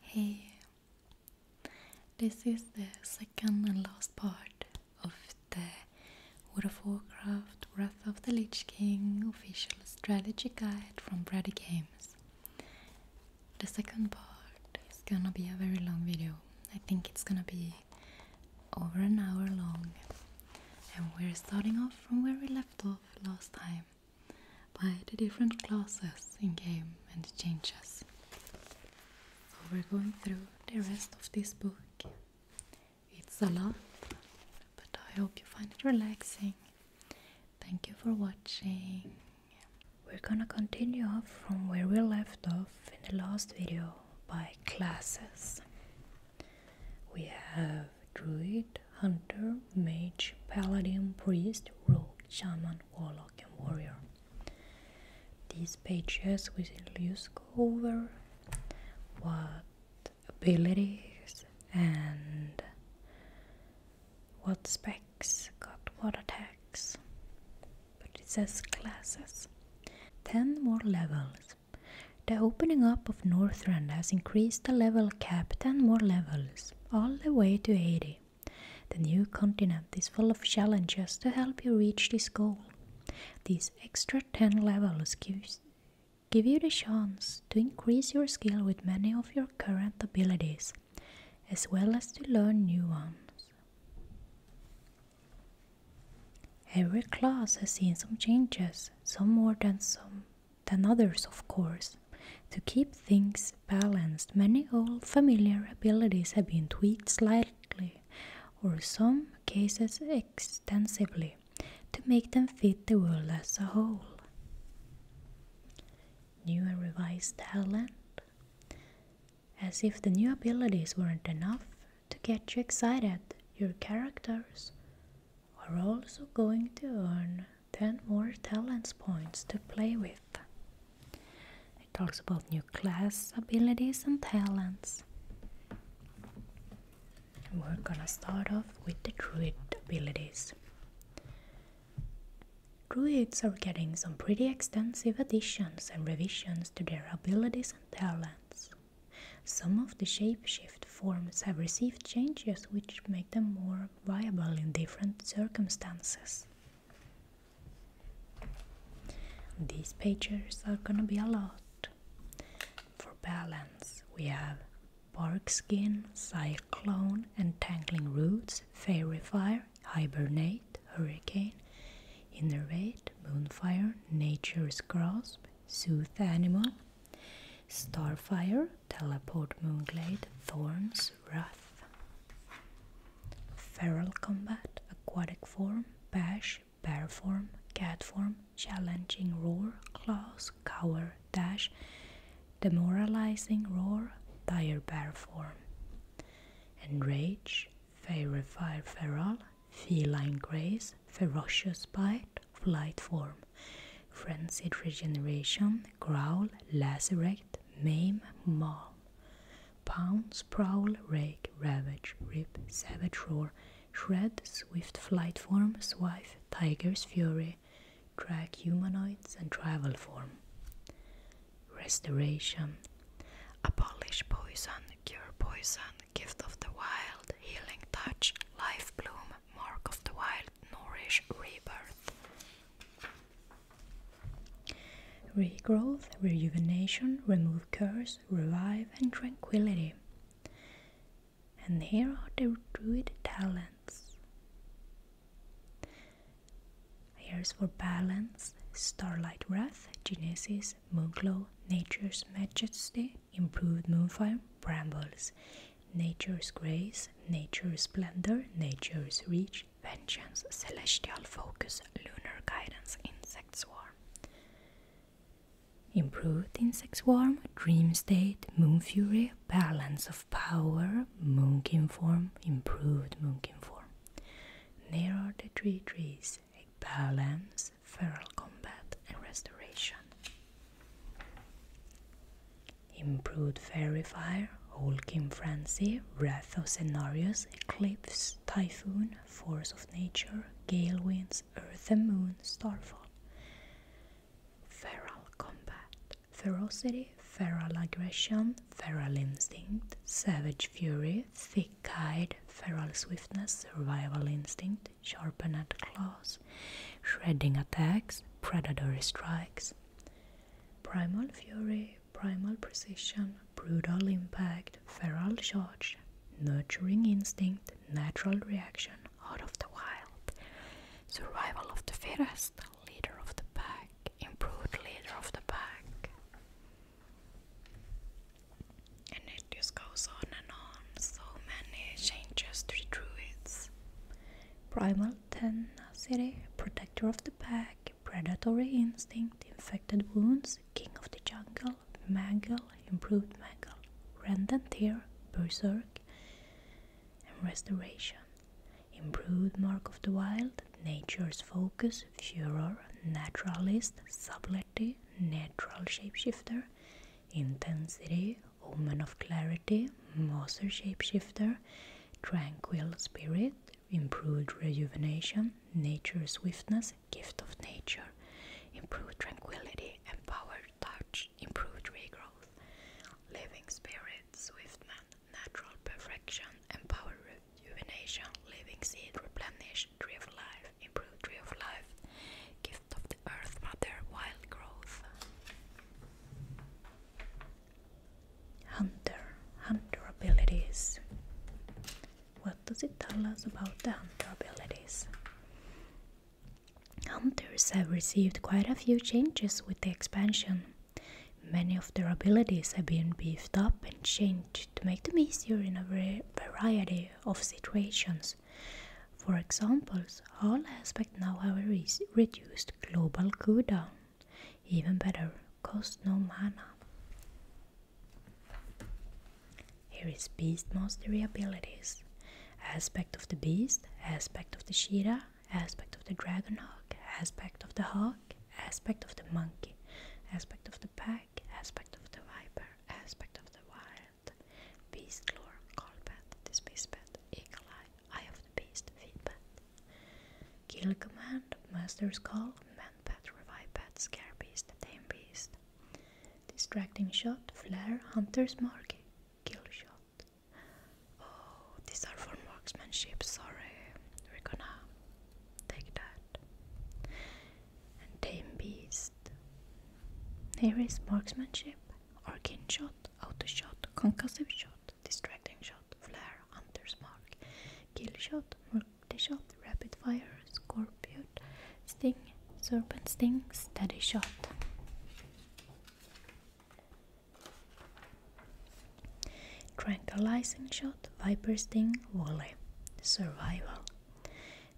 Hey! This is the second and last part of the World of Wrath of the Lich King official strategy guide from Brady Games. The second part is gonna be a very long video. I think it's gonna be over an hour long. And we're starting off from where we left off last time by the different classes in game and changes. So we're going through the rest of this book. It's a lot, but I hope you find it relaxing. Thank you for watching. We're gonna continue off from where we left off in the last video by classes. We have Druid, Hunter, Mage, Paladin, Priest, Rogue, Shaman, warlock, and warrior. These pages will go over what abilities and what specs got what attacks. But it says classes. 10 more levels. The opening up of Northrend has increased the level cap 10 more levels, all the way to 80. The new continent is full of challenges to help you reach this goal. These extra 10 levels gives, give you the chance to increase your skill with many of your current abilities, as well as to learn new ones. Every class has seen some changes, some more than some than others, of course. To keep things balanced, many old familiar abilities have been tweaked slightly, or some cases extensively, to make them fit the world as a whole. New and revised talent. As if the new abilities weren't enough to get you excited, your characters are also going to earn 10 more talents points to play with. It talks about new class abilities and talents. we're gonna start off with the druid abilities. Druids are getting some pretty extensive additions and revisions to their abilities and talents. Some of the shapeshift forms have received changes which make them more viable in different circumstances. These pages are gonna be a lot. For balance, we have bark skin, cyclone, entangling roots, fairy fire, hibernate, hurricane, innervate, moonfire, nature's grasp, soothe animal, starfire, teleport, moonglade, thorns, Furious Wrath. Feral Combat, Aquatic Form, Bash, Bear Form, Cat Form, Challenging Roar, Claws, Cower, Dash, Demoralizing Roar, Dire Bear Form. Enrage, Fairy Fire Feral, Feline Grace, Ferocious Bite, Flight Form. Frenzied Regeneration, growl, lacerate, maim, maul, pounce, sprawl, rake, ravage, rip, savage roar, shred, swift flight form, swife, tiger's fury, track humanoids and travel form. Restoration. Abolish poison, cure poison, gift of the wild, healing touch, life bloom, mark of the wild, nourish, rebirth. Regrowth, rejuvenation, remove curse, revive, and tranquility. And here are the druid talents. Here's for balance Starlight Wrath, Genesis, Moonclaw, Nature's Majesty, Improved Moonfire, Brambles, Nature's Grace, Nature's Splendor, Nature's Reach, vengeance, celestial focus, lunar guidance, insect swarm. Improved insect swarm, dream state, moon fury, balance of power, moonkin form, improved moonkin form. Narrow the three trees, a balance, feral combat, and restoration. Improved Verifier, Holcim Frenzy, Wrath of Scenarios, Eclipse, Typhoon, Force of Nature, Gale Winds, Earth and Moon, Starfall. Feral Combat, Ferocity, Feral Aggression, Feral Instinct, Savage Fury, Thick Hide, Feral Swiftness, Survival Instinct, Sharpened Claws, Shredding Attacks, Predatory Strikes, Primal Fury, Primal Precision, Brutal Impact, Feral Charge, Nurturing Instinct, Natural Reaction, out of the Wild, Survival of the Fittest, Leader of the Pack, Improved Leader of the Pack. And it just goes on and on, so many changes to the druids. Primal tenacity, protector of the pack, predatory instinct, infected wounds, king of the jungle, mangle, improved mangle, rend and tear, berserk, restoration. Improved mark of the wild, nature's focus, furor, naturalist, subtlety, natural shapeshifter, intensity, woman of clarity, master shapeshifter, tranquil spirit, improved rejuvenation, nature swiftness, gift of nature, improved tranquility, empowered touch, improved regrowth, living spirit, swift man, natural perfection, empowered rejuvenation, living seed, replenish, tree of life, improved tree of life, gift of the earth mother, wild growth. Hunter, hunter abilities. What does it tell us about the hunter abilities? Hunters have received quite a few changes with the expansion. Many of their abilities have been beefed up and changed to make them easier in a variety of situations. For examples, all aspects now have reduced global cooldown. Even better, cost no mana. Here is Beast Mastery abilities. Aspect of the Beast, Aspect of the Shira, Aspect of the Dragonhawk, Aspect of the Hawk, Aspect of the Monkey, Aspect of the Pack, Aspect of the Viper, Aspect of the Wild, Beast Lore, Call pet, Dismiss Path, Eagle Eye of the Beast, Feedbat. Kill Command, Master's Call, Man pet. Revive pet. Scare Beast, Tame Beast. Distracting Shot, Flare, Hunter's Mark, Kill Shot. Oh, these are for marksmanship, sorry. We're gonna take that. And Tame Beast. Here is marksmanship, Arching shot, auto shot, concussive shot, distracting shot, flare, hunter's mark, kill shot, multi shot, rapid fire, scorpion, sting, serpent sting, steady shot. Tranquilizing shot, viper sting, volley, survival,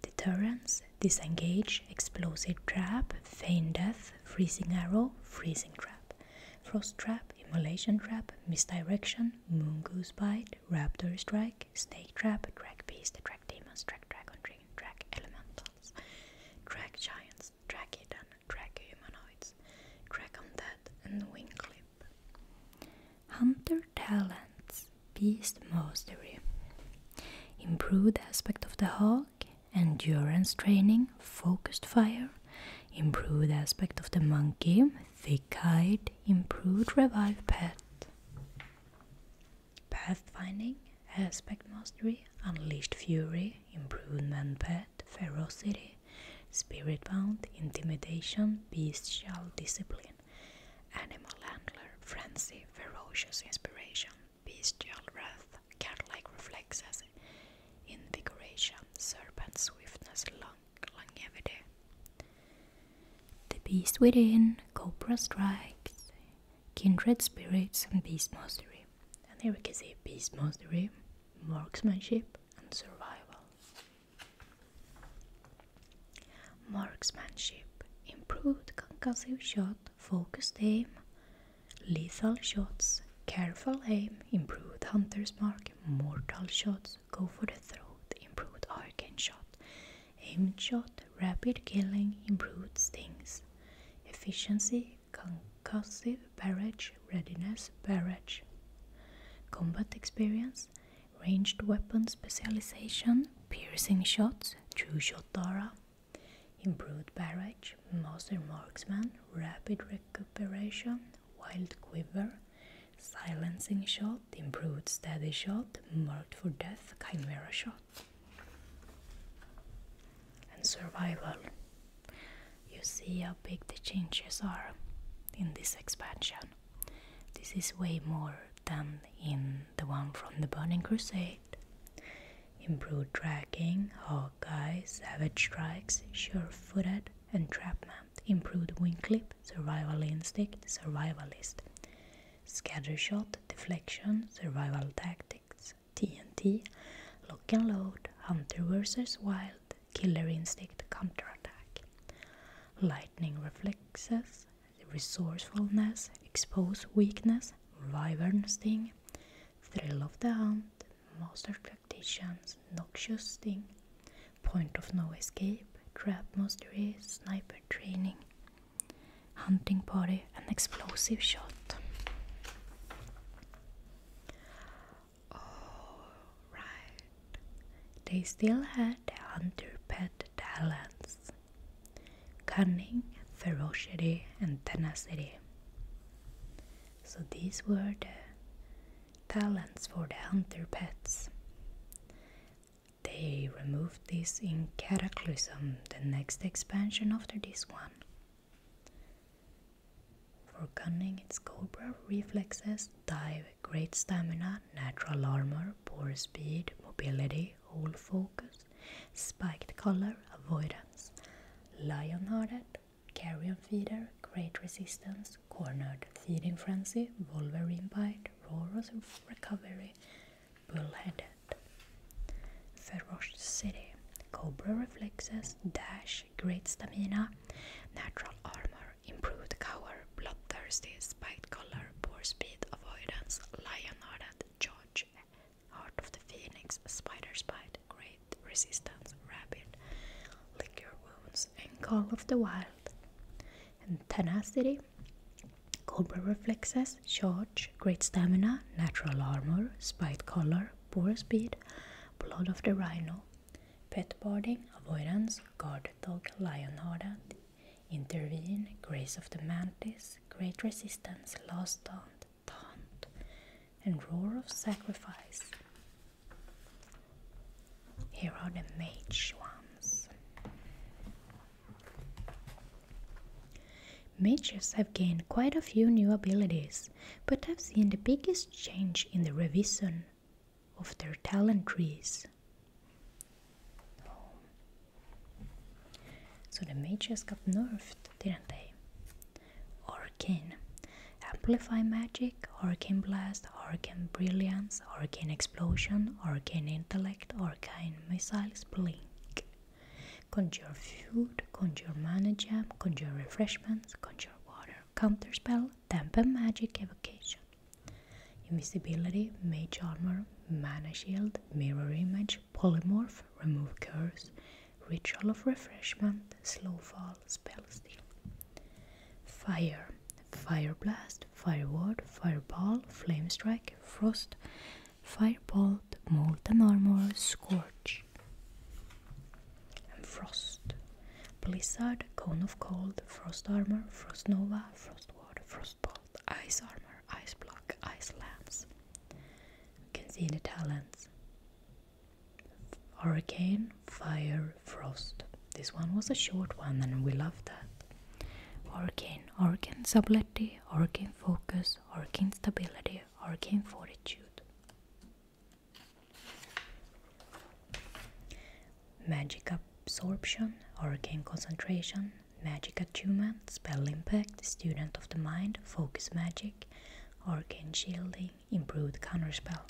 deterrence, disengage, explosive trap, feign death, freezing arrow, freezing trap, frost trap, immolation trap, misdirection, moon goose bite, raptor strike, snake trap, drag beast, drag demons, drag dragon, drag elementals, drag giants, drag hidden, drag humanoids, drag undead, and wing clip. Hunter talents, beast mastery, improved aspect of the hawk, endurance training, focused fire, improved aspect of the monkey, thick-eyed, improved revived pet. Pathfinding, aspect mastery, unleashed fury, improvement pet, ferocity, spirit bound, intimidation, bestial discipline, animal handler, frenzy, ferocious inspiration, bestial wrath, cat like reflexes, invigoration, serpent swiftness, long longevity. The beast within, cobra strikes, kindred spirits, and beast mastery. And here we can see beast mastery, marksmanship, and survival. Marksmanship, improved concussive shot, focused aim, Lethal shots, careful aim, improved hunter's mark, mortal shots, go for the throat, improved arcane shot, aimed shot, rapid killing, improved stings, efficiency, concussive barrage, readiness, barrage, combat experience, ranged weapon specialization, piercing shots, true shot aura, improved barrage, master marksman, rapid recuperation, Wild Quiver, Silencing Shot, Improved Steady Shot, Marked for Death, Chimera Shot, and Survival. You see how big the changes are in this expansion. This is way more than in the one from the Burning Crusade. Improved tracking, Hawkeye, Savage Strikes, Sure Footed, entrapment, improved wing clip, survival instinct, survivalist, scatter shot, deflection, survival tactics, TNT, lock and load, hunter versus wild, killer instinct, counterattack, lightning reflexes, resourcefulness, expose weakness, wyvern sting, thrill of the hunt, master cactaceans, noxious sting, point of no escape, trap mastery, sniper training, hunting party, and explosive shot. Alright, they still had the hunter pet talents cunning, ferocity, and tenacity. So these were the talents for the hunter pets. They removed this in Cataclysm, the next expansion after this one. For gunning, it's Cobra, reflexes, dive, great stamina, natural armor, poor speed, mobility, all focus, spiked color, avoidance. Lionhearted, carrion feeder, great resistance, cornered, feeding frenzy, wolverine bite, roar's recovery, bullheaded. city, cobra reflexes, dash, great stamina, natural armor, improved cover, bloodthirsty, spiked collar, poor speed, avoidance, lion-hearted, George, heart of the phoenix, spider bite great resistance, rapid lick your wounds, and call of the wild. And tenacity, cobra reflexes, charge, great stamina, natural armor, spite color, poor speed, blood of the rhino, pet boarding, avoidance, guard dog, lion hardened, intervene, grace of the mantis, great resistance, last taunt, taunt, and roar of sacrifice. Here are the mage ones. Mages have gained quite a few new abilities, but i have seen the biggest change in the revision of their talent trees. So the mages got nerfed, didn't they? Hurricane Amplify Magic, Hurricane Blast, Hurricane Brilliance, Hurricane Explosion, Hurricane Intellect, Hurricane Missiles, Blink Conjure Food, Conjure Mana gem. Conjure Refreshments, Conjure Water, Counter spell. Temper Magic Evocation Invisibility, Mage Armor, Mana Shield, Mirror Image, Polymorph, Remove Curse, Ritual of refreshment, slow fall, spell steal. Fire, fire blast, Firewood, fireball, flame strike, frost, firebolt, molten armor, scorch. And frost, blizzard, cone of cold, frost armor, frost nova, frost water, frost bolt, ice armor, ice block, ice lamps. You can see the talents. Hurricane, fire, frost. This one was a short one and we loved that. Hurricane, hurricane stability, hurricane focus, hurricane stability, hurricane fortitude. Magic absorption, hurricane concentration, magic attunement, spell impact, student of the mind, focus magic, hurricane shielding, improved counterspell,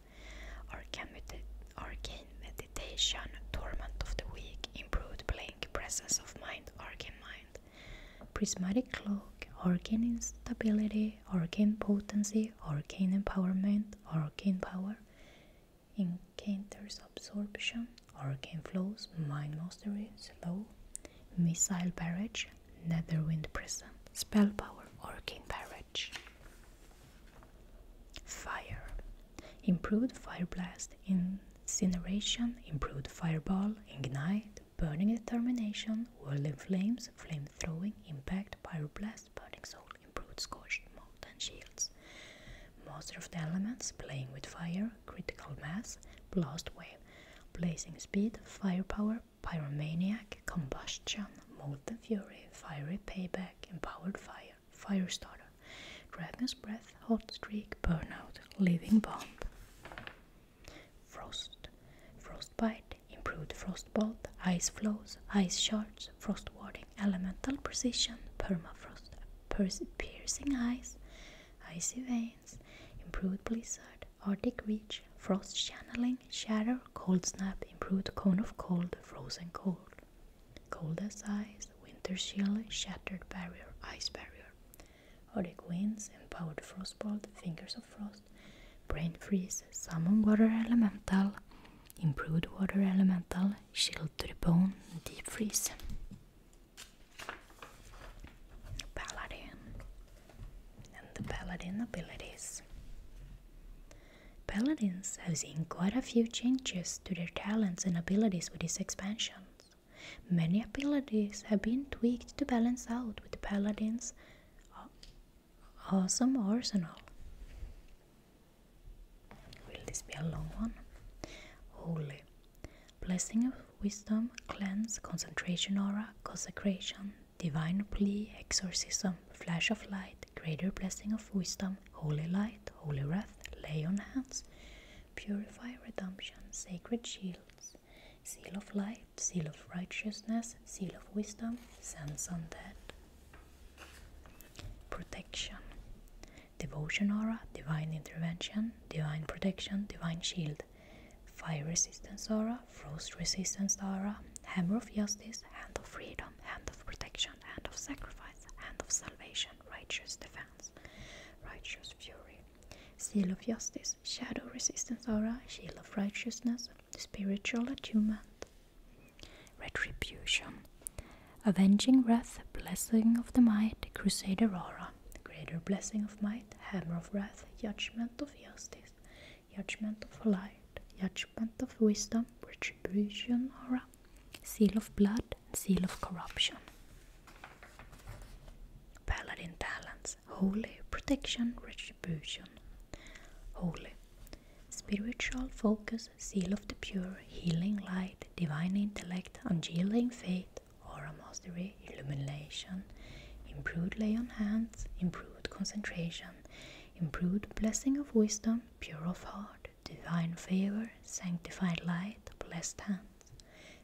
arcane, medit arcane meditation, torment of the weak, improved blink, presence of mind, arcane mind, prismatic cloak, arcane instability, arcane potency, arcane empowerment, arcane power, encounters absorption, arcane flows, mind mastery, slow, missile barrage, Netherwind Prison, Spellpower, Arcane Barrage. Fire. Improved Fire Blast, Incineration, Improved Fireball, Ignite, Burning Determination, Whirling Flames, Flame Throwing, Impact, Pyroblast, Burning Soul, Improved Scorched, Molten Shields. Master of the Elements, Playing with Fire, Critical Mass, Blast Wave, Blazing Speed, Firepower, pyromaniac, combustion, molten fury, fiery payback, empowered fire, firestarter, dragon's breath, hot streak, burnout, living bomb, frost, frostbite, improved frostbolt, ice flows, ice shards, frost warding, elemental precision, permafrost, piercing eyes, icy veins, improved blizzard, Arctic Reach, Frost Channeling, Shatter, Cold Snap, Improved Cone of Cold, Frozen Cold, Cold as Ice, Winter Shield, Shattered Barrier, Ice Barrier, Arctic Winds, Empowered Frostbolt, Fingers of Frost, Brain Freeze, Summon Water Elemental, Improved Water Elemental, Shield to the Bone, Deep Freeze. Paladin, and the paladin abilities. Paladins have seen quite a few changes to their talents and abilities with these expansions. Many abilities have been tweaked to balance out with the paladin's awesome arsenal. Will this be a long one? Holy. Blessing of Wisdom, Cleanse, Concentration Aura, Consecration, divine plea, exorcism, flash of light, greater blessing of wisdom, holy light, holy wrath, lay on hands, purify, redemption, sacred shields, seal of light, seal of righteousness, seal of wisdom, sense undead. Protection Devotion aura, divine intervention, divine protection, divine shield, fire resistance aura, aura, frost resistance aura, hammer of justice, hand of freedom, hand of protection, hand of sacrifice, hand of salvation, righteous defense, righteous fury, seal of justice, shadow resistance aura, shield of righteousness, spiritual attunement, retribution, avenging wrath, blessing of the might, crusader aura, greater blessing of might, hammer of wrath, judgment of justice judgment of light, judgment of wisdom, retribution, aura, seal of blood, seal of corruption. Paladin talents, holy, protection, retribution. Holy, spiritual focus, seal of the pure, healing light, divine intellect, ungealing faith, aura mastery, illumination, improved lay on hands, improved concentration, improved blessing of wisdom, pure of heart, divine favor, sanctified light, blessed hands,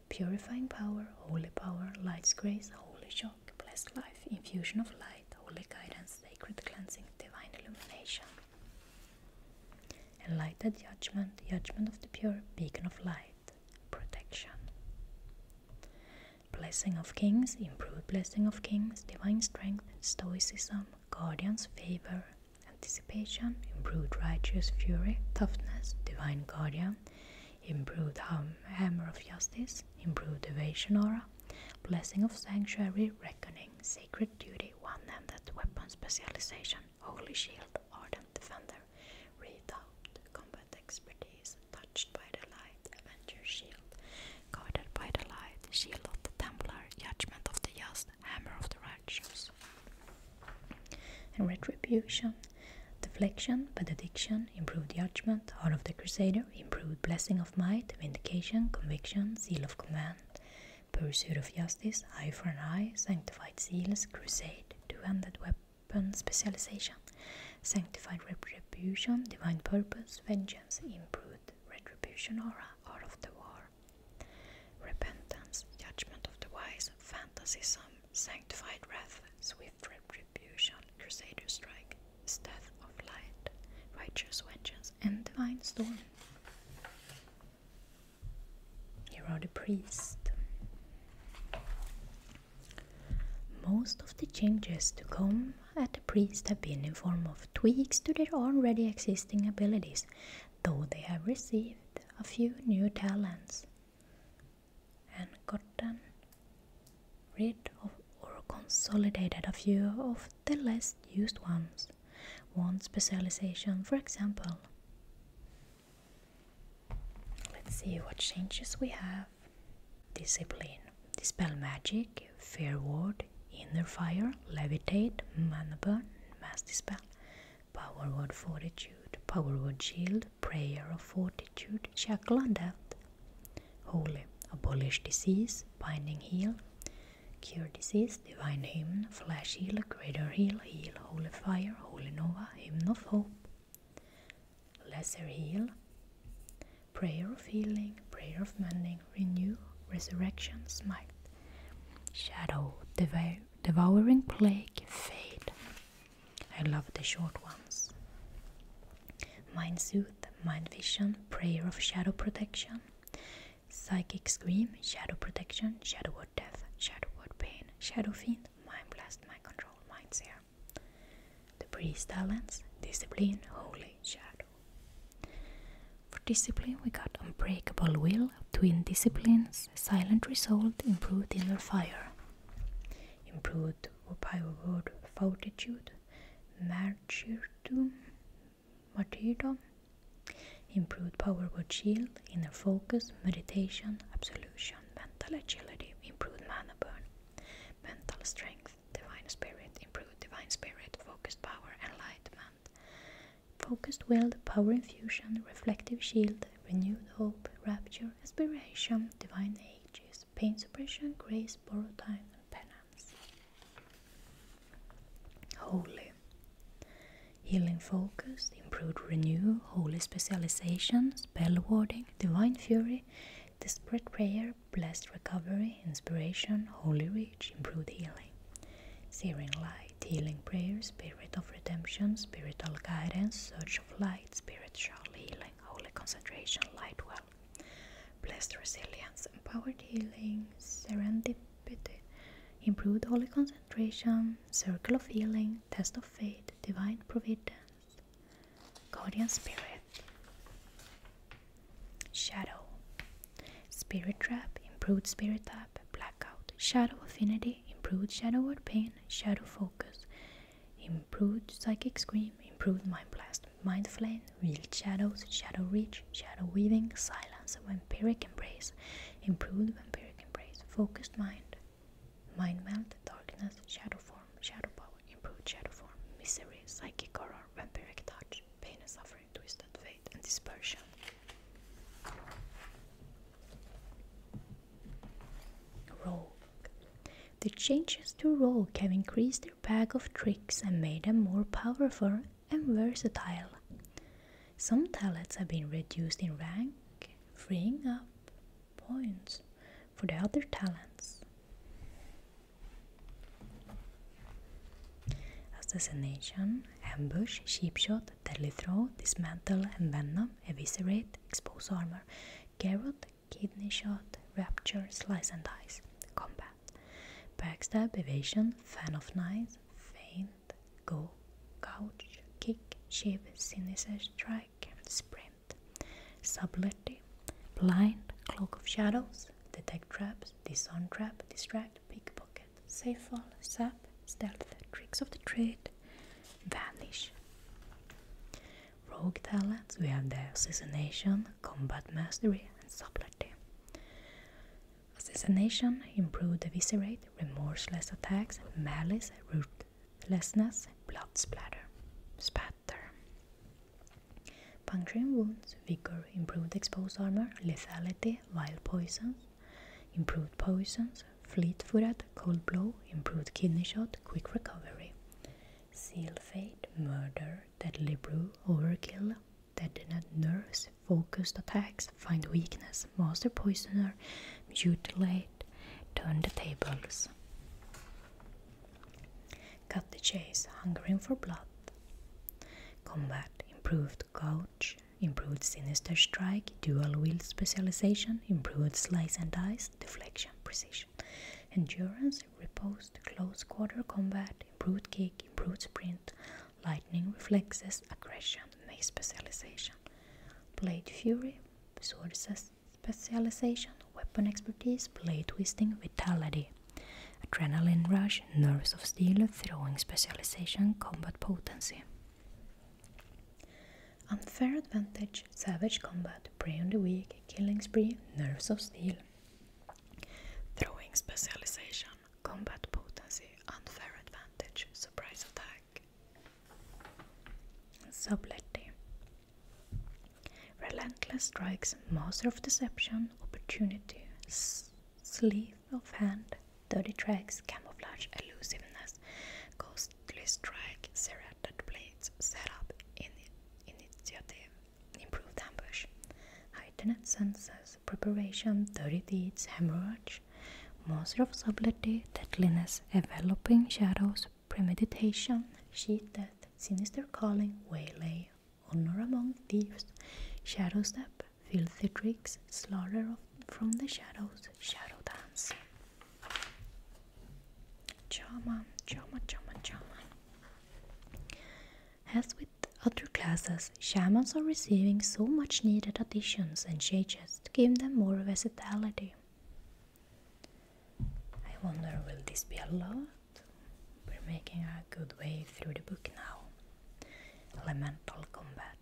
purifying power, holy power, light's grace, holy shock, blessed life, infusion of light, holy guidance, sacred cleansing, divine illumination. Enlightened judgment, judgment of the pure, beacon of light, protection. Blessing of Kings, Improved Blessing of Kings, Divine Strength, Stoicism, Guardian's Favor, Anticipation, Improved Righteous Fury, Toughness, Divine Guardian, Improved Hammer of Justice, Improved Evasion Aura, Blessing of Sanctuary, Reckoning, Sacred Duty, One-Handed Weapon Specialization, Holy Shield, Ardent Defender, Redoubt, Combat Expertise, touched by the light, Avenger's shield, guarded by the light, shield of the Templar, judgment of the just, hammer of the righteous. And retribution, deflection, benediction, improved judgment, heart of the crusader, improved blessing of might, vindication, conviction, seal of command, pursuit of justice, eye for an eye, sanctified seals, crusade, two-handed weapon specialization. Sanctified retribution, divine purpose, vengeance, improved retribution aura, art of the war, repentance, judgment of the wise, fantasism, sanctified wrath, swift retribution, crusader strike, death of light, righteous vengeance, and divine storm. Here are the priests. Most of the changes to come at the priest have been in form of tweaks to their already existing abilities, though they have received a few new talents and gotten rid of or consolidated a few of the less used ones. One specialization, for example. Let's see what changes we have discipline, dispel magic, fair ward, inner fire, levitate, mana burn, mass dispel, power word fortitude, power word shield, prayer of fortitude, shackle death, holy, abolish disease, binding heal, cure disease, divine hymn, flash heal, greater heal, heal, holy fire, holy nova, hymn of hope lesser heal, prayer of healing, prayer of mending, renew, resurrection, smite, shadow, devouring plague, fade. I love the short ones. Mind Sooth, Mind Vision, Prayer of Shadow Protection, Psychic Scream, Shadow Protection, Shadow Word Death, Shadow Word Pain, Shadow Fiend, Mind Blast, Mind Control, Mind Seer the priest talents, discipline, holy shadow. For discipline, we got unbreakable will, twin disciplines, silent resolve, improved inner fire, improved power word fortitude, martyrdom, martyrdom, improved word shield, inner focus, meditation, absolution, mental agility, improved mana burn, mental strength divine spirit, improved divine spirit, focused power, enlightenment, focused will, power infusion, reflective shield, renewed hope, rapture, aspiration, divine ages, pain suppression, grace, borrowed time, and penance. Holy. Healing focus, improved renew, holy specialization, spell warding, divine fury, desperate prayer, blessed recovery, inspiration, holy reach, improved healing, searing light, healing prayers, spirit of redemption, spiritual guidance, search of light, spiritual healing, holy concentration, light well, blessed resilience, empowered healing, serendipity, improved holy concentration, circle of healing, test of faith, divine providence, Guardian Spirit Shadow Spirit Trap, Improved Spirit Trap, Blackout Shadow Affinity, Improved Shadow Word Pain, Shadow Focus Improved Psychic Scream, Improved Mind Blast, Mind Flame, Real Shadows, Shadow Reach, Shadow Weaving, Silence, Vampiric Embrace, Improved Vampiric Embrace, Focused Mind, Mind Melt, Darkness, Shadow Form, Shadow Power, improved shadow form, misery, psychic horror, vampiric touch, pain and suffering, twisted fate, and dispersion. Rogue. The changes to Rogue have increased their bag of tricks and made them more powerful and versatile. Some talents have been reduced in rank, freeing up points for the other talents. Assassination, ambush, sheepshot, deadly throw, dismantle, and venom, eviscerate, expose armor, carrot, kidney shot, rapture, slice and dice, combat, backstab, evasion, fan of knives, feint, go, couch, kick, shave, sinister strike, sprint, subtlety, blind, cloak of shadows, detect traps, disarm trap, distract, pickpocket, safe fall, sap, stealth, tricks of the trade, vanish. Rogue talents, we have the assassination, combat mastery, and subtlety. Assassination, improved eviscerate, remorseless attacks, malice, ruthlessness, blood splatter, spat better. Puncturing wounds, vigor, improved exposed armor, lethality, vile poisons, improved poisons, fleet footed, cold blow, improved kidney shot, quick recovery, seal fate, murder, deadly brew, overkill, deadened nerves, focused attacks, find weakness, master poisoner, mutilate, turn the tables. Cut the chase, hungering for blood. Combat, improved Coach improved sinister strike, dual wield specialization, improved slice and dice, deflection, precision, endurance, Repose. close quarter combat, improved kick, improved sprint, lightning reflexes, aggression, mace specialization, blade fury, Sources. specialization, weapon expertise, blade twisting, vitality. Adrenaline rush, nerves of steel, throwing specialization, combat potency. Unfair advantage, savage combat, prey on the weak, killing spree, nerves of steel. Throwing specialization, combat potency, unfair advantage, surprise attack. Subtlety, Relentless strikes, master of deception, opportunity, sleeve of hand, dirty tricks, camouflage, elusiveness, ghostly strike, serrated blades, setup, initiative, improved ambush, heightened senses, preparation, dirty deeds, hemorrhage, master of subtlety, deadliness, enveloping shadows, premeditation, sheet death, sinister calling, waylay, honor among thieves, shadow step, filthy tricks, slaughter from the shadows, shadow dance. Chama, chama, chama, chama. As with other classes, shamans are receiving so much needed additions and changes to give them more versatility. I wonder, will this be allowed? We're making a good way through the book now. Elemental Combat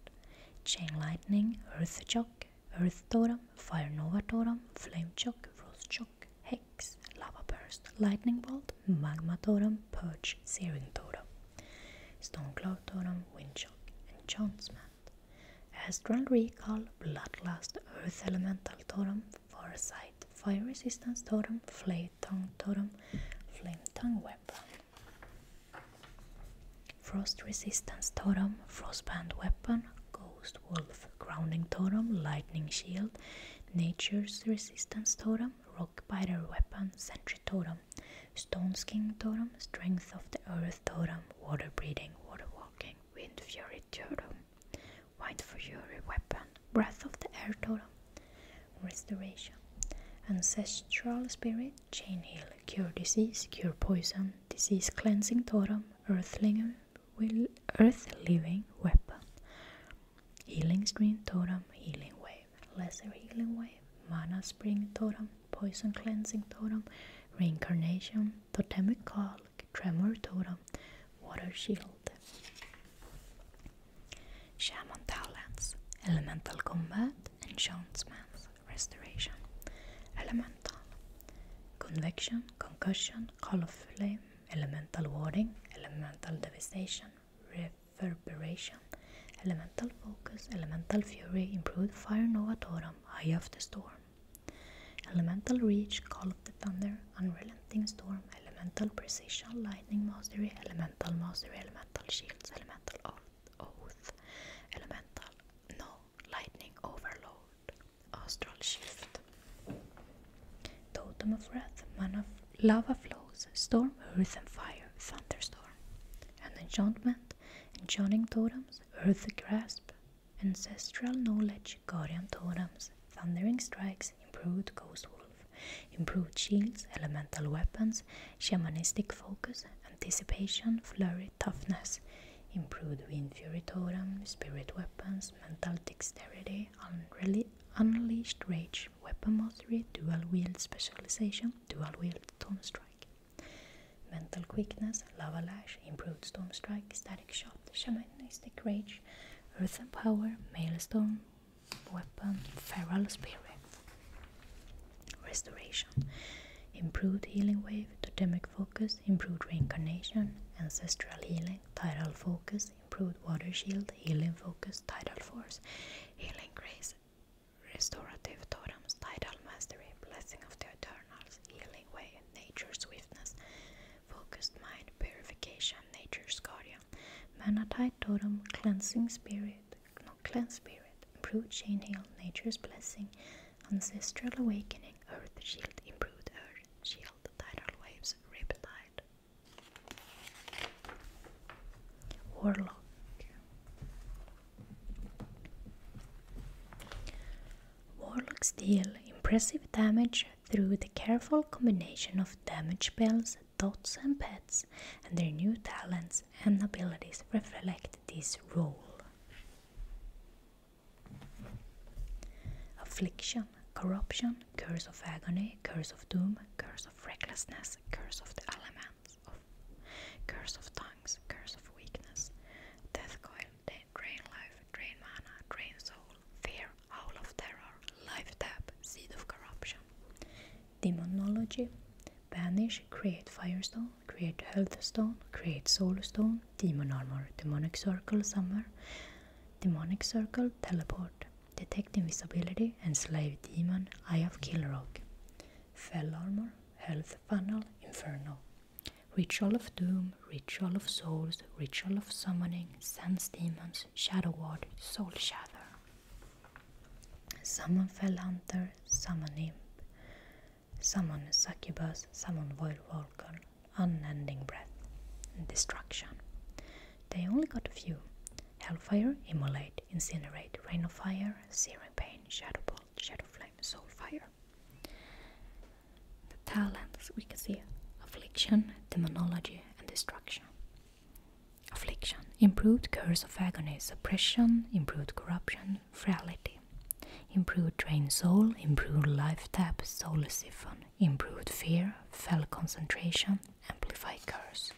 Chain Lightning, Earth Shock, Earth Totem, Fire Nova Totem, Flame Shock, Frost Shock, Hex, Lava Burst, Lightning Bolt, Magma Totem, Purge, Searing Totem, Stone Cloud Totem, Wind Shock, Enchantment, Astral Recall, Bloodlust, Earth Elemental Totem, foresight fire resistance totem, flame tongue totem, flame tongue weapon. Frost resistance totem, frost band weapon, ghost wolf, grounding totem, lightning shield, nature's resistance totem, rock spider weapon, sentry totem, stone skin totem, strength of the earth totem, water breathing, water walking, wind fury totem. White for Fury Weapon, Breath of the Air Totem, Restoration, Ancestral Spirit, Chain Heal, Cure Disease, Cure Poison, Disease Cleansing Totem, Earthling, will, Earth Living Weapon, Healing Stream Totem, Healing Wave, Lesser Healing Wave, Mana Spring Totem, Poison Cleansing Totem, Reincarnation, Totemic Call, Tremor Totem, Water Shield Shaman Talents Elemental Combat Enchantments Restoration Elemental Convection, Concussion, Call of Flame, Elemental Warding, Elemental Devastation, Reverberation, Elemental Focus, Elemental Fury, Improved Fire Nova Totem, Eye of the Storm, Elemental Reach, Call of the Thunder, Unrelenting Storm, Elemental Precision, Lightning Mastery, Elemental Mastery, Elemental Shields, Elemental Oath, Elemental No, Lightning Overload, Astral Shift, Totem of Wrath, Mana Lava Flows, Storm, Earth and Fire, Thunderstorm, and Enchantment, Enchanting Totems, Earth Grasp, Ancestral Knowledge, Guardian Totems, Thundering Strikes, improved Ghost Wolf, improved shields, elemental weapons, shamanistic focus, anticipation, flurry, toughness, improved Wind Fury Totem, spirit weapons, mental dexterity, unleashed rage, weapon mastery, dual wield specialization, dual wield storm strike, mental quickness, lava lash, improved storm strike, static shot, shamanistic rage, Earth and Power, Maelstone, Weapon, Feral Spirit. Restoration. Improved Healing Wave, Totemic Focus, Improved Reincarnation, Ancestral Healing, Tidal Focus, Improved Water Shield, Healing Focus, Tidal Force, Healing Grace, Restorative Totems, Tidal Mastery, Blessing of the Eternals, Healing Way, Nature's Swiftness, Focused Mind, Purification, Nature's Guardian area. Manatite totem, cleansing spirit, no, cleanse spirit, improved chain hail, nature's blessing, ancestral awakening, earth shield, improved earth shield, tidal waves, tide. Warlock. Warlock's deal impressive damage, through the careful combination of damage spells, dots, and pets, and their new talents and abilities reflect this role. Affliction, corruption, curse of agony, curse of doom, curse of recklessness, curse of the elements, curse of tongues, curse of weakness, death coil, drain life, drain mana, drain soul, Fear, Howl of Terror, Life Tap, Seed of Corruption. Demonology Banish, create Firestone, create health stone, create soul stone, Demon Armor, Demonic Circle, Summer, Demonic Circle, Teleport, Detect Invisibility, and slay Demon, Eye of Kilrog, Fell Armor, Health Funnel, Inferno, Ritual of Doom, Ritual of Souls, Ritual of Summoning, Sense Demons, Shadow Ward, Soul Shatter. Summon Fell Hunter, Summon Imp, Summon Succubus, Summon Void Vulcan, Unending Breath, Destruction. They only got a few. Hellfire, emulate, Incinerate, Rain of Fire, Searing Pain, shadowbolt, Bolt, Shadow Flame, Soul Fire. The talents we can see Affliction, Demonology, and destruction. Affliction, improved curse of agony, suppression, improved corruption, frailty, improved trained soul, improved life tap, soul siphon, improved fear, fell concentration, amplified curse.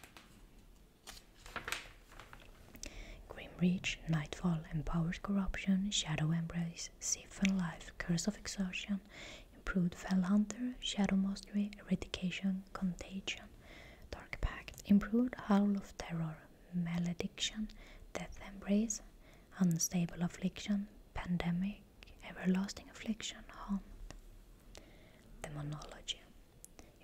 Grim reach, nightfall, empowered corruption, shadow embrace, siphon life, curse of exhaustion improved fell hunter, shadow mastery, eradication, contagion, dark pact, improved howl of terror, malediction, death embrace, unstable affliction, pandemic, everlasting affliction, haunt, demonology,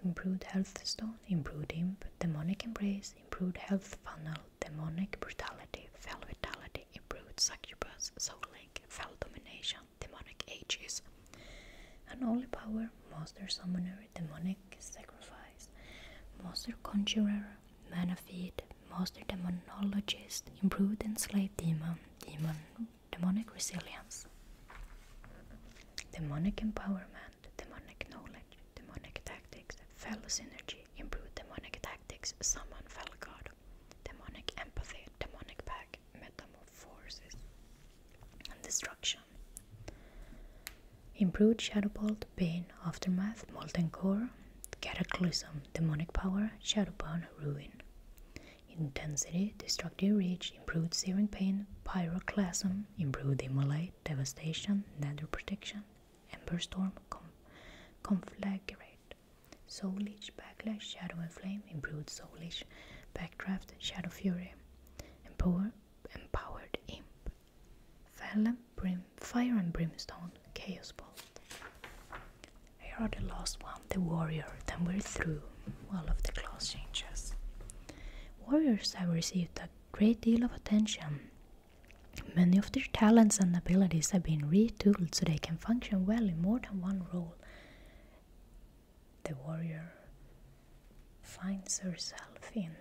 improved health stone, improved imp, demonic embrace, improved health funnel, demonic brutality, fell vitality, improved succubus, soul link, fell domination, demonic ages. An holy power, master summoner, demonic sacrifice, master conjurer, manafid, master demonologist, improved enslaved demon, demon, demonic resilience, demonic empowerment, demonic knowledge, demonic tactics, fellow synergy, improved demonic tactics, summon fellow god, demonic empathy, demonic pack, like metamorphosis destruction. Improved Shadowbolt, pain Aftermath, Molten Core, Cataclysm, Demonic Power, Shadowbound, Ruin. Intensity, Destructive Reach, Improved Searing Pain, Pyroclasm, Improved Immolate, Devastation, Nether Protection, Ember Storm, Conflagrate. Soulish Backlash, Shadow and Flame, Improved Soulish, Backdraft, Shadow Fury, Empower, Empowered Imp, Fallon, Brim, Fire and Brimstone, Chaos Bolt. Here are the last one, the Warrior, then we're through all of the class changes. Warriors have received a great deal of attention. Many of their talents and abilities have been retooled so they can function well in more than one role the warrior finds herself in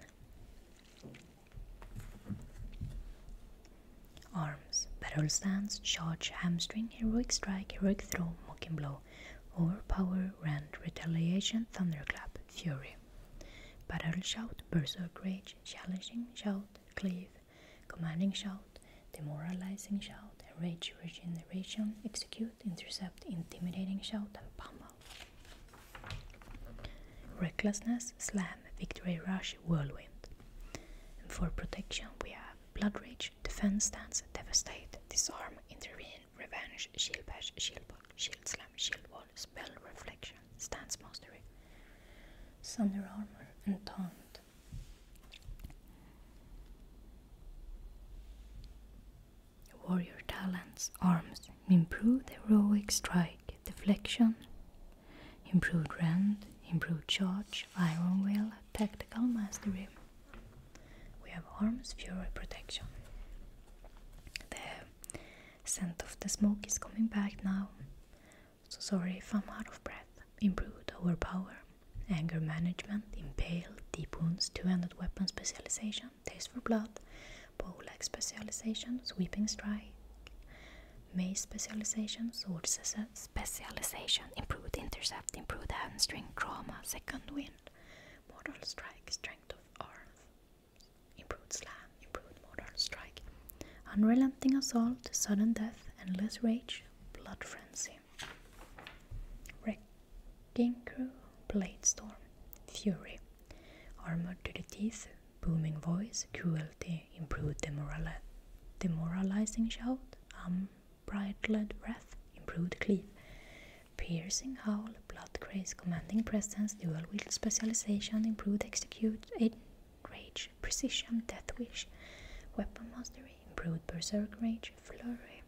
arms, battle stance, charge, hamstring, heroic strike, heroic throw, mocking blow, overpower, rend, retaliation, thunderclap, fury, battle shout, burst of rage, challenging shout, cleave, commanding shout, demoralizing shout, rage regeneration, execute, intercept, intimidating shout, and pummel. Recklessness, slam, victory rush, whirlwind. And for protection, we have blood rage, defense stance, devastate, disarm, intervene, revenge, shield bash, shield block, shield slam, shield wall, spell reflection, stance mastery, thunder armor, and taunt. Warrior talents, arms, improved heroic strike, deflection, improved rend, improved charge, iron will, tactical mastery. We have arms, fury, protection. The scent of the smoke is coming back now. So sorry if I'm out of breath. Improved our power anger management, impale, deep wounds, two-handed weapon specialization, taste for blood, poleaxe specialization, sweeping strike, mace specialization, sword specialization, improved intercept, improved hand hamstring, trauma, second wind, mortal strike, strength of arms, improved slam, improved mortal strike, unrelenting assault, sudden death, endless rage, blood frenzy. Wrecking Crew, Blade Storm, Fury, Armored to the Teeth, Booming Voice, Cruelty, Improved demorali Demoralizing Shout, Unbridled Wrath, Improved Cleave, Piercing Howl, Blood Grace, Commanding Presence, Dual Wield Specialization, Improved Execute, Rage. Precision, Death Wish, Weapon Mastery, Improved Berserk Rage, Flurry,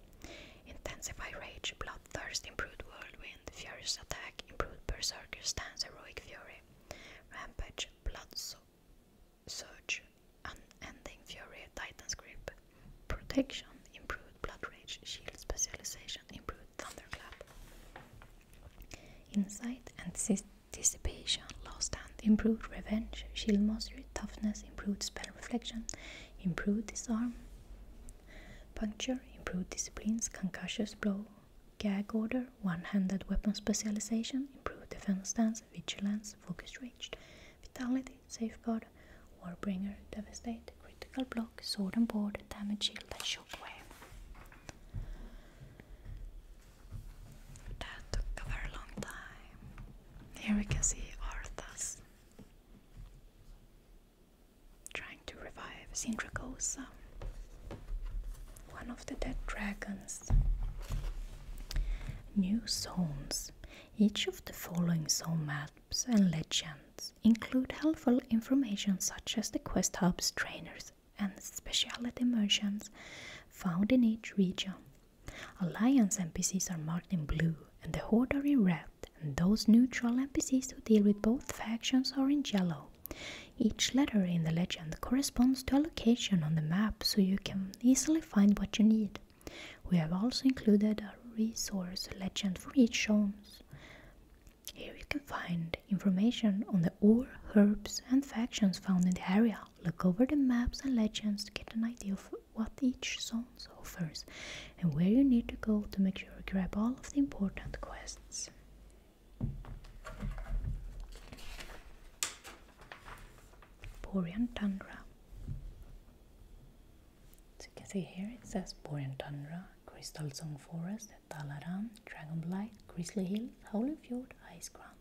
Intensify Rage, Bloodthirst, Improved Whirlwind, Furious Attack, Improved Berserker Stance, Heroic Fury, Rampage, Blood so Surge, Unending Fury, Titan's Grip, Protection, Improved Blood Rage, Shield Specialization, Improved Thunderclap, Insight, and Dissipation, Lost Hand improved revenge, shield mastery, toughness, improved spell reflection, improved disarm, puncture, improved Discipline concussive blow, gag order, one-handed weapon specialization, improved defense stance, vigilance, focus rage, vitality, safeguard, warbringer, devastate, critical block, sword and board, damage shield and shockwave. That took a very long time. Here we can see Arthas trying to revive Sindracosa, one of the dead dragons. New zones. Each of the following zone maps and legends include helpful information such as the quest hubs, trainers, and specialty merchants found in each region. Alliance NPCs are marked in blue and the Horde are in red, and those neutral NPCs who deal with both factions are in yellow. Each letter in the legend corresponds to a location on the map so you can easily find what you need. We have also included a resource legend for each zone. Here you can find information on the ore, herbs and factions found in the area. Look over the maps and legends to get an idea of what each zone offers and where you need to go to make sure you grab all of the important quests. Borean Tundra. As you can see here, it says Borean Tundra, Crystal Zone Forest, Dalaran, Dragonblight, Grizzly Hills, Howling Fjord, Ice Ground,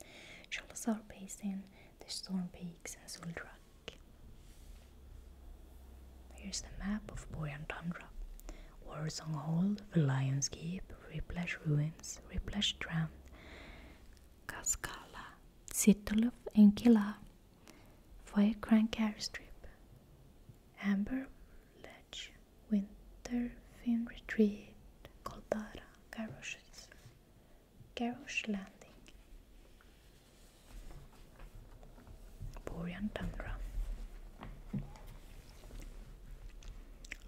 Shalazar Basin, the Storm Peak. Here's the map of Boyan Tundra. Warsong Hold, the Lion's Keep, Riplash Ruins, Riplash Strand, Kaskala, Situlup and Killa, Firecrank Airstrip, Amber Ledge, Winterfin Retreat, Coldara, Garrosh Garrosh Landing Borean er Tundra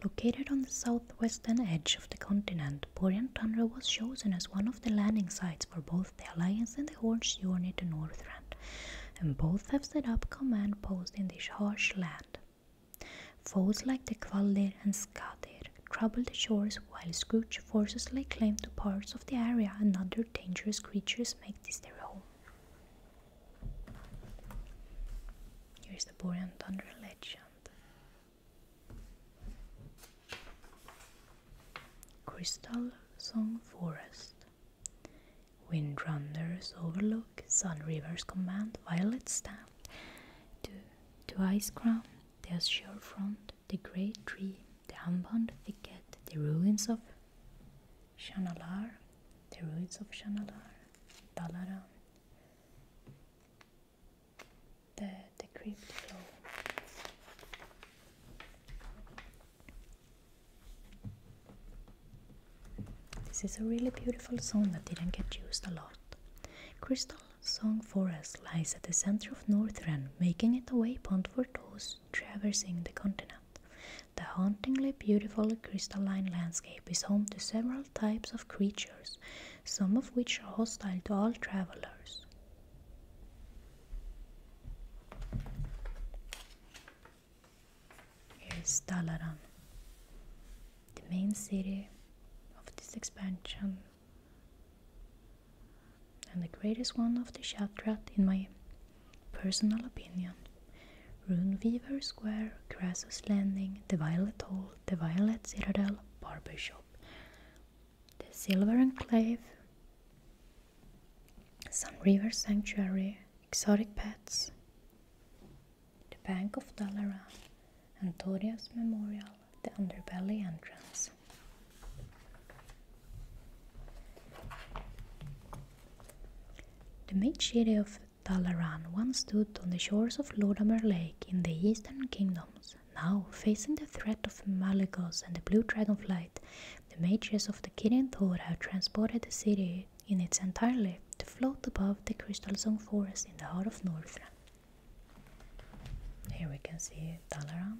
Located on the southwestern edge of the continent, Borean Tundra was chosen as one of the landing sites for both the Alliance and the Horde's journey to Northrend, and both have set up command posts in this harsh land. Foes like the Kvaldir and Skadir desert the shores while Scrooge forcibly lay claim to parts of the area and other dangerous creatures make this their home. Here's the Borean and Thunder legend. Crystal Song Forest Wind Runners overlook, Sun Rivers command, Violet stand to, to Ice Crown, There's Azure Front, the Great Tree, the Ambon Thicket, the ruins of Shanalar, the ruins of Shanalar, Dalaran, the, the crypt flow. This is a really beautiful song that didn't get used a lot. Crystal Song Forest lies at the center of Northrend, making it a waypoint for those traversing the continent. The hauntingly beautiful crystalline landscape is home to several types of creatures, some of which are hostile to all travelers. Here is Dalaran, the main city of this expansion and the greatest one of the Shadrat, in my personal opinion. Rune Weaver Square, Crassus Landing, the Violet Hall, the Violet Citadel, Barber Shop, the Silver Enclave, Sun River Sanctuary, Exotic Pets, the Bank of Dalaran, and Antonius Memorial, the underbelly entrance. The main city of Talaran once stood on the shores of Lodamer Lake in the Eastern Kingdoms. Now, facing the threat of Malagos and the Blue Dragonflight, the mages of the Kirin Thor have transported the city in its entirety to float above the Crystal Zone forest in the heart of Northrend. Here we can see Dalaran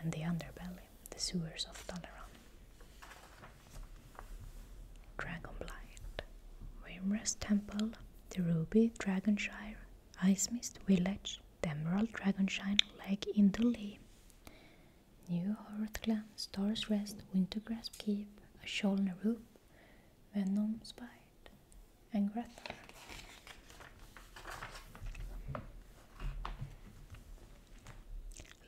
and the underbelly, the sewers of Dalaran. Dragonblight, Wimrest Temple, the Ruby Dragonshire, Icemist Village, the Emerald Dragonshine, Lake in Indolee, New Hearthclan, Star's Rest, Wintergrasp Keep, Asholna Roop, Venom Spire and Greta.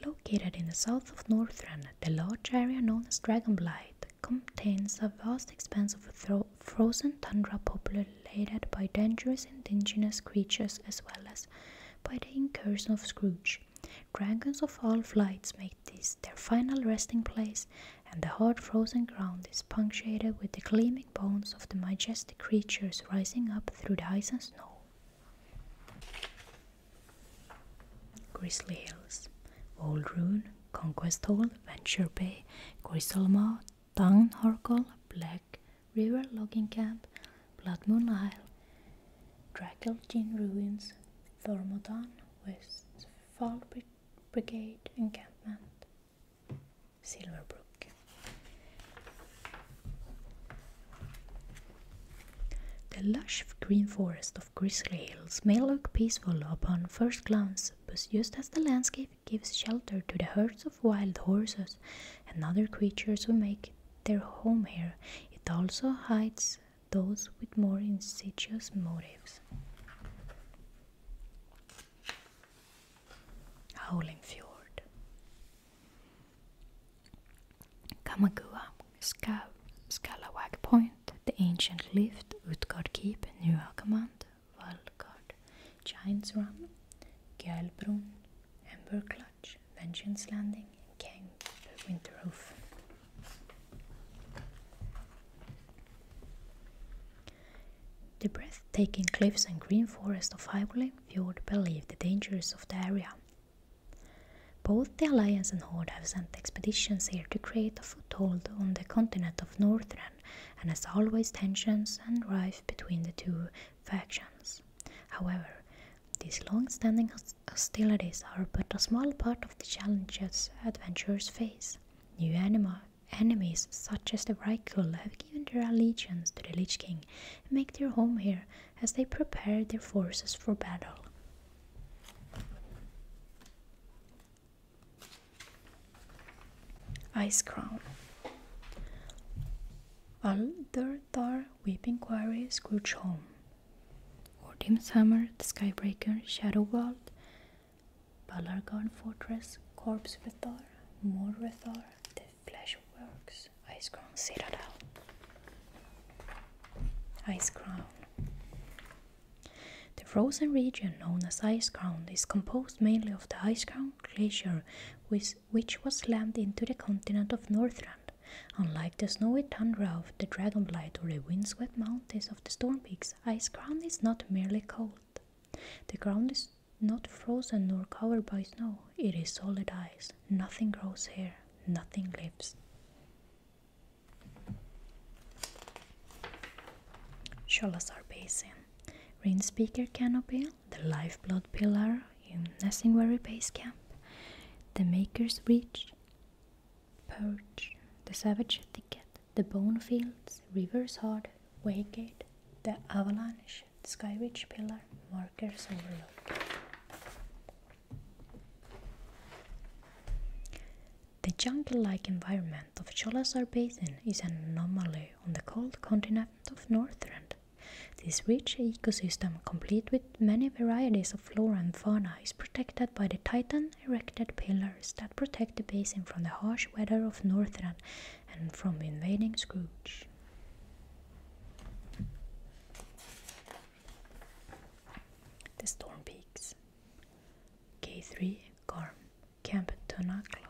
Located in the south of Northrend, the large area known as Dragonblight contains a vast expanse of frozen tundra populated by dangerous indigenous creatures as well as by the incursion of Scrooge. Dragons of all flights make this their final resting place and the hard frozen ground is punctuated with the gleaming bones of the majestic creatures rising up through the ice and snow. Grizzly Hills, Old Ruin, Conquest Hall, Venture Bay, Crystal Griselma, Town Harkle, Black River Logging Camp, Blood Moon Isle, Drackle Ruins, Thermodon, West Fall Brigade Encampment, Silverbrook. The lush green forest of Grisly Hills may look peaceful upon first glance, but just as the landscape gives shelter to the herds of wild horses and other creatures who make their home here, it also hides those with more insidious motives. Howling Fjord. Kamagua, Ska Skalawag Point, the ancient lift, Utgard Keep, New Command, Valgard, Giants Run, Gjellbrunn, Ember Clutch, Vengeance Landing, and Kang, Winterhoof. The breathtaking cliffs and green forest of Hygule Fjord believe the dangers of the area. Both the Alliance and Horde have sent expeditions here to create a foothold on the continent of Northren, and as always, tensions and rife between the two factions. However, these long-standing hostilities are but a small part of the challenges adventurers face. New anima Enemies such as the Rykul have given their allegiance to the Lich King and make their home here as they prepare their forces for battle. Ice Crown Alderthar Weeping Quarry Scrooge Home Ordim's Hammer, The Skybreaker, Shadowworld, Balargan Fortress, Corpse Rethar, More Rethar, The Fleshworks, Ice Crown Citadel, Ice Crown. The frozen region known as Ice Crown is composed mainly of the Ice Crown glacier, which, was slammed into the continent of Northland. Unlike the snowy tundra of the Dragonblight or the windswept mountains of the Storm Peaks, Ice Crown is not merely cold. The ground is not frozen nor covered by snow, it is solid ice. Nothing grows here, nothing lives. Cholazar Basin Rain Speaker Canopy, the lifeblood pillar in Nessingwary Base Camp, the Maker's Reach, Perch, the Savage Thicket, the bone fields, Rivers Hard, Waygate, the Avalanche, Skyridge Pillar, Markers Overlook. The jungle-like environment of Cholasar Basin is an anomaly on the cold continent of Northrend. This rich ecosystem, complete with many varieties of flora and fauna, is protected by the Titan erected pillar that protect the basin from the harsh weather of Northern and from invading Scrooge. The Storm Peaks K3, Garm, Camp Tonakla,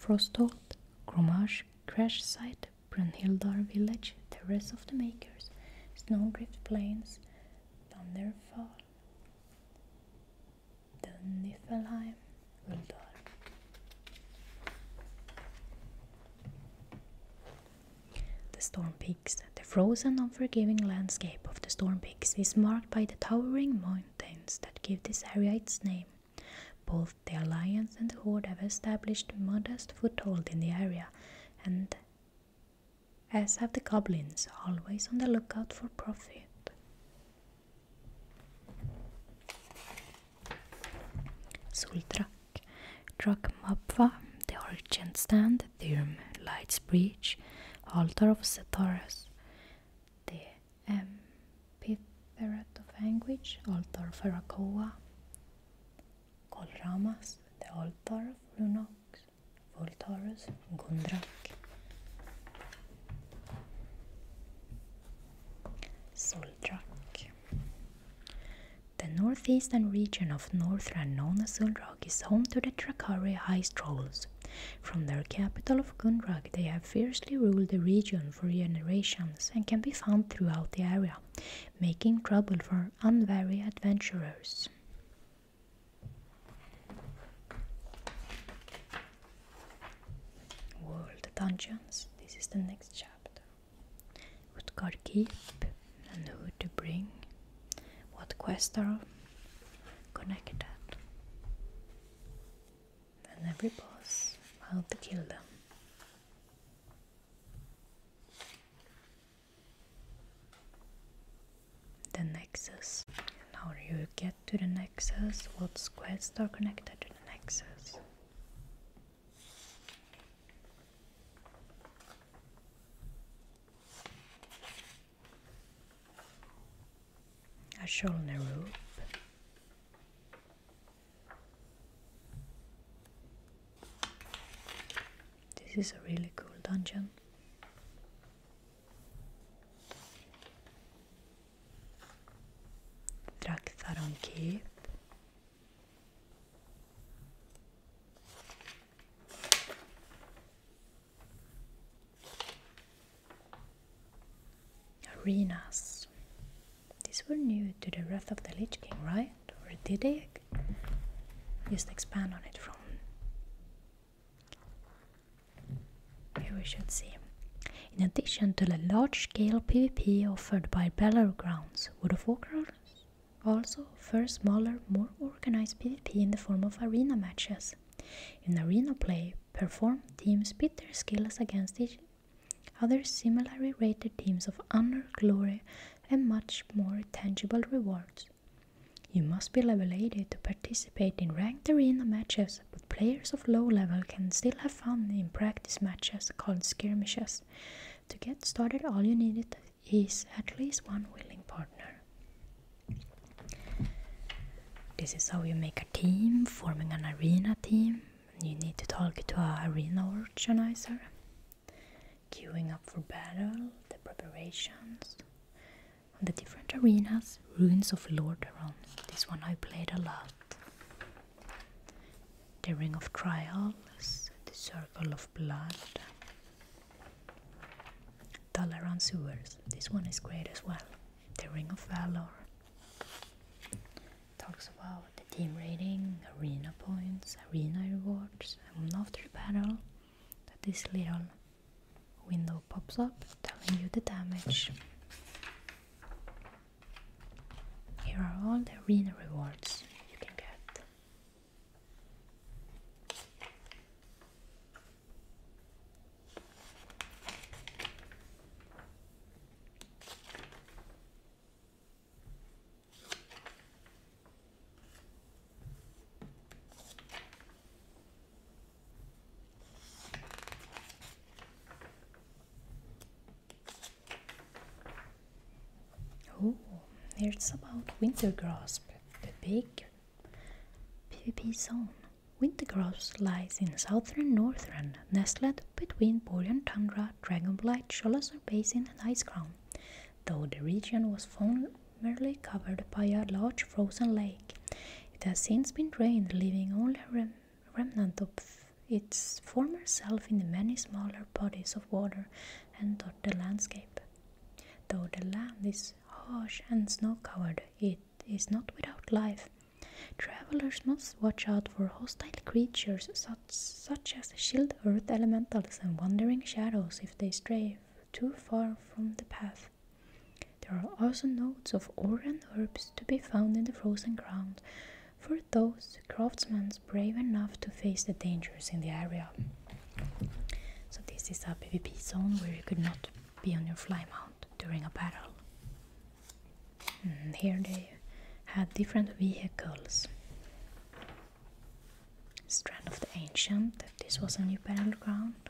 Frostolt, Gromage, Crash Site, Brunhildar Village, Terrace of the Makers, Snowdrift Plains, Thunderfall, the Niflheim Uldor. The Storm Peaks. The frozen, unforgiving landscape of the Storm Peaks is marked by the towering mountains that give this area its name. Both the Alliance and the Horde have established modest foothold in the area, and as have the goblins, always on the lookout for profit. Sultrak, Drakmabva, the Origin Stand, Thirm, Light's Breach, Altar of Setaras, the Amphitheatre of Anguish, Altar of Arakoa, Kolramas, the Altar of Lunox, Voltorus, Gundrak, Soldrach The northeastern region of northern known as Soldrach is home to the Trakkari High Trolls. From their capital of Gundrak, they have fiercely ruled the region for generations and can be found throughout the area, making trouble for unwary adventurers. World Dungeons. This is the next chapter. What card keep and who to bring. What quest are connected. And every boss, how to kill them. The Nexus. And how do you get to the nexus? What quests are connected to the nexus? A shoulder rope. This is a really cool dungeon. Drack þar á Arenas. These were new to the Wrath of the Lich King, right? Or did they just expand on it from here we should see. In addition to the large-scale PvP offered by Battlegrounds, World of Warcraft also offers smaller, more organized PvP in the form of arena matches. In arena play, performed teams pit their skills against each other similarly rated teams of honor, glory, and much more tangible rewards. You must be level 80 to participate in ranked arena matches, players of low level can still have fun in practice matches called skirmishes. To get started, all you need is at least one willing partner. This is how you make a team, forming an arena team. You need to talk to a arena organizer. Queuing up for battle, the preparations, on the different arenas, ruins of Lordaeron. This one I played a lot. The Ring of Trials, the Circle of Blood, Dalaran Sewers. This one is great as well. The Ring of Valor talks about the team rating, arena points, arena rewards, and after battle. That is little window pops up telling you the damage. Here are all the arena rewards you can get. Oh, it's about winter grasp, the big PvP zone. Winter grasp lies in southern northern, nestled between Borean tundra, dragonblight, Cholazar basin, and ice crown, though the region was formerly covered by a large frozen lake. It has since been drained, leaving only a remnant of its former self in the many smaller bodies of water and dot the landscape. Though the land is harsh and snow-covered, it is not without life. Travelers must watch out for hostile creatures such as shield earth elementals and wandering shadows if they stray too far from the path. There are also nodes of ore and herbs to be found in the frozen ground for those craftsmen brave enough to face the dangers in the area. So this is a PvP zone where you could not be on your fly mount during a battle. Mm, here they had different vehicles. Strand of the Ancient, this was a new battleground.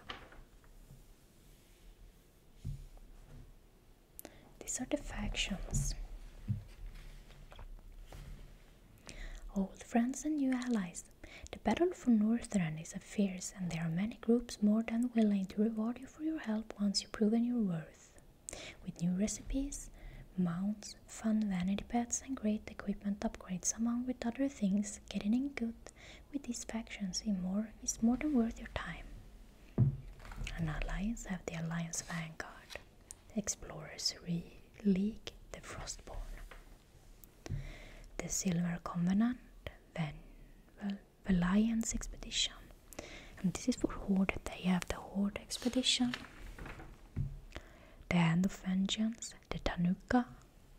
These are the factions. Old friends and new allies. The battle for Northrend is a fierce, and there are many groups more than willing to reward you for your help once you've proven your worth. With new recipes, mounts, fun vanity pets, and great equipment upgrades, among with other things, getting in good with these factions it's more is more than worth your time. An alliance have the Alliance Vanguard, Explorers Re League, the Frostborn, the Silver Covenant, then well, Alliance Expedition. And this is for Horde, they have the Horde Expedition, the Hand of Vengeance, the Tanuka,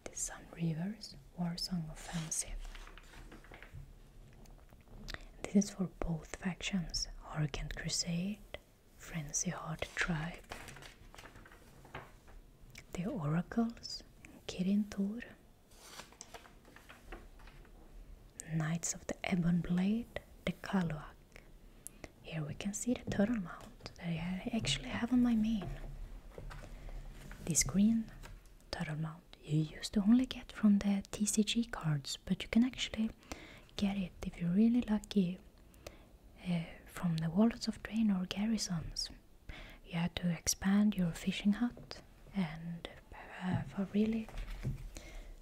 the Sun Rivers, War Song Offensive. This is for both factions and Crusade, Frenzy Heart Tribe, the Oracles, Kirin Tor, Knights of the Ebon Blade, the Kaluak. Here we can see the turtle mount that I actually have on my main. This green total amount you used to only get from the TCG cards, but you can actually get it if you're really lucky uh, from the walls of drain or garrisons. You had to expand your fishing hut and have a really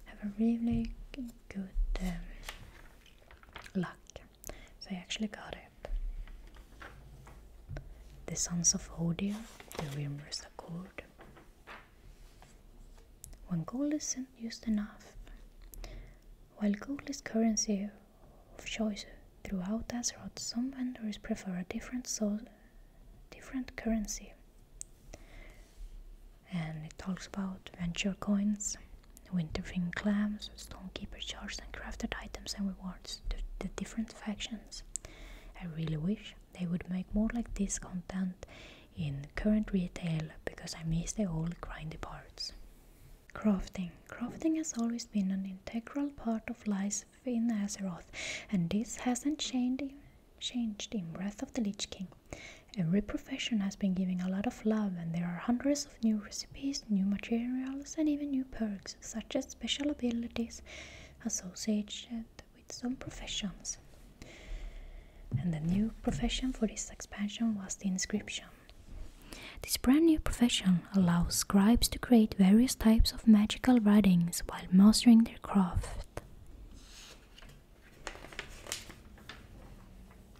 have a really good um, luck. So you actually got it the sons of Hodir, the rumors accord. When gold isn't used enough, while gold is currency of choice throughout Azeroth, some vendors prefer a different so different currency. And it talks about venture coins, winterfin clams, stonekeeper jars, and crafted items and rewards to the different factions. I really wish they would make more like this content in current retail because I miss the old grindy parts. Crafting. Crafting has always been an integral part of life in Azeroth, and this hasn't changed, in Wrath of the Lich King. Every profession has been giving a lot of love, and there are hundreds of new recipes, new materials, and even new perks, such as special abilities associated with some professions. And the new profession for this expansion was the inscription. This brand new profession allows scribes to create various types of magical writings while mastering their craft.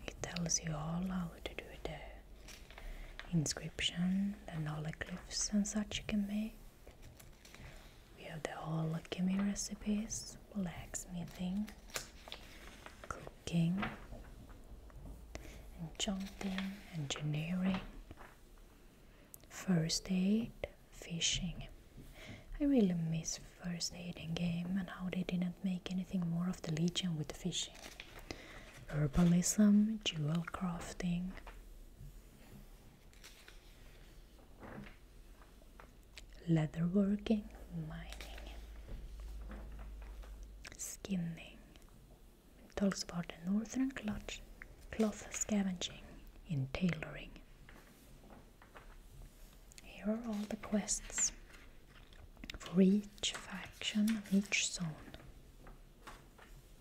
It tells you all how to do the inscription, the hologlyphs and such you can make. We have the whole alchemy recipes, blacksmithing, cooking, enchanting, engineering, first aid, fishing. I really miss first aid in game and how they didn't make anything more of the legion with the fishing. Herbalism, jewel crafting, leatherworking, mining, skinning. talks about the northern cloth, cloth scavenging in tailoring. Here are all the quests for each faction, each zone.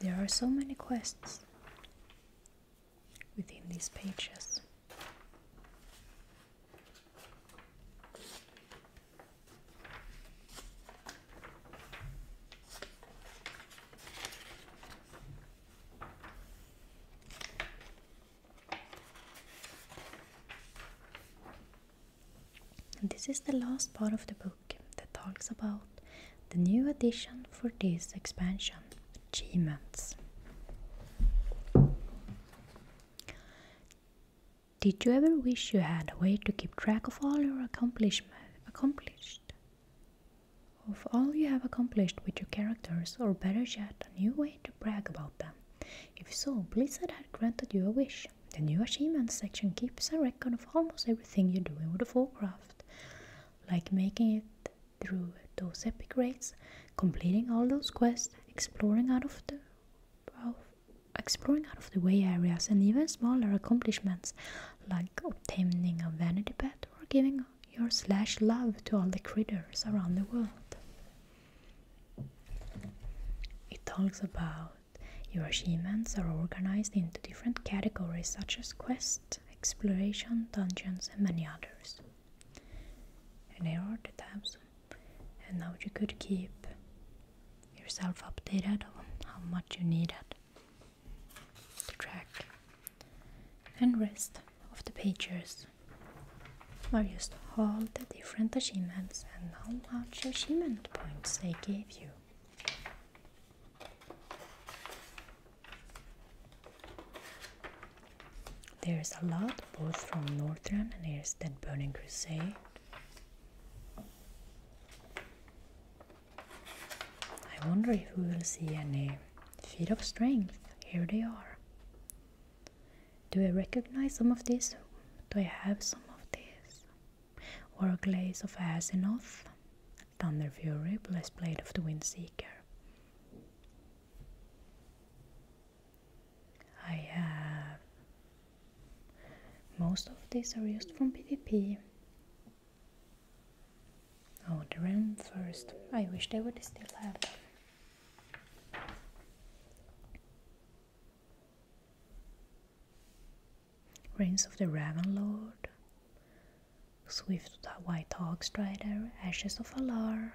There are so many quests within these pages this is the last part of the book that talks about the new edition for this expansion achievements. Did you ever wish you had a way to keep track of all your accomplishment accomplished? Of all you have accomplished with your characters, or better yet, a new way to brag about them. If so, Blizzard had granted you a wish. The new achievements section keeps a record of almost everything you are doing with World of Warcraft, like making it through those epic raids, completing all those quests, exploring out of the of exploring out of the way areas and even smaller accomplishments like obtaining a vanity pet or giving your slash love to all the critters around the world. It talks about your achievements are organized into different categories such as quests, exploration, dungeons, and many others. And there are the tabs and now you could keep yourself updated on how much you needed to track and rest of the pages are just all the different achievements and how much achievement points they gave you. There's a lot both from Northern and here's that Burning Crusade. I wonder if we will see any feet of strength. Here they are. Do I recognize some of these? Do I have some of these? Or a glaze of Asinoth, Thunder Fury, Blessed Blade of the Windseeker. I have most of these are used from PvP. Oh, the RAM first. I wish they would still have them. Reigns of the Ravenlord, Swift White Hog Strider, Ashes of Alar,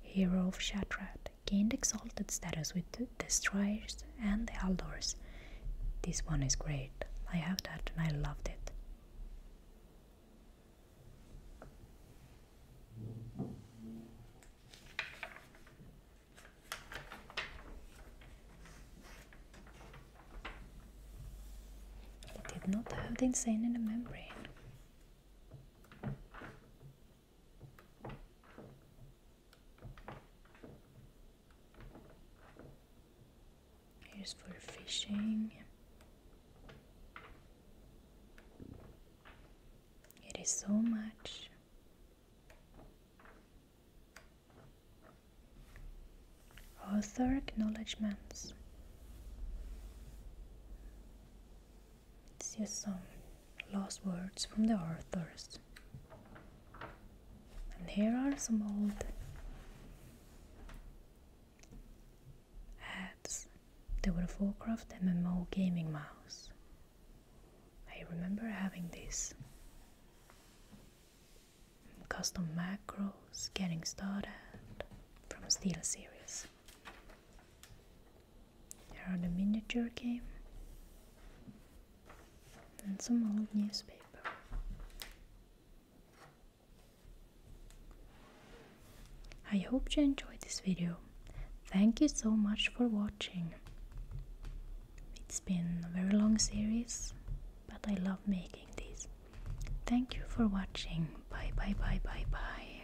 hero of Shatrat, gained exalted status with the Destroyers and the Aldors. This one is great. I have that and I loved it. It did not have the insane in the membrane. Here's for fishing. It is so much. Author acknowledgements. Let's use some last words from the authors. And here are some old ads. They were a Warcraft MMO gaming mouse. I remember having this. Custom macros, getting started from Steel Series. There are the miniature game and some old newspaper. I hope you enjoyed this video. Thank you so much for watching. It's been a very long series, but I love making these. Thank you for watching. Bye bye bye bye bye.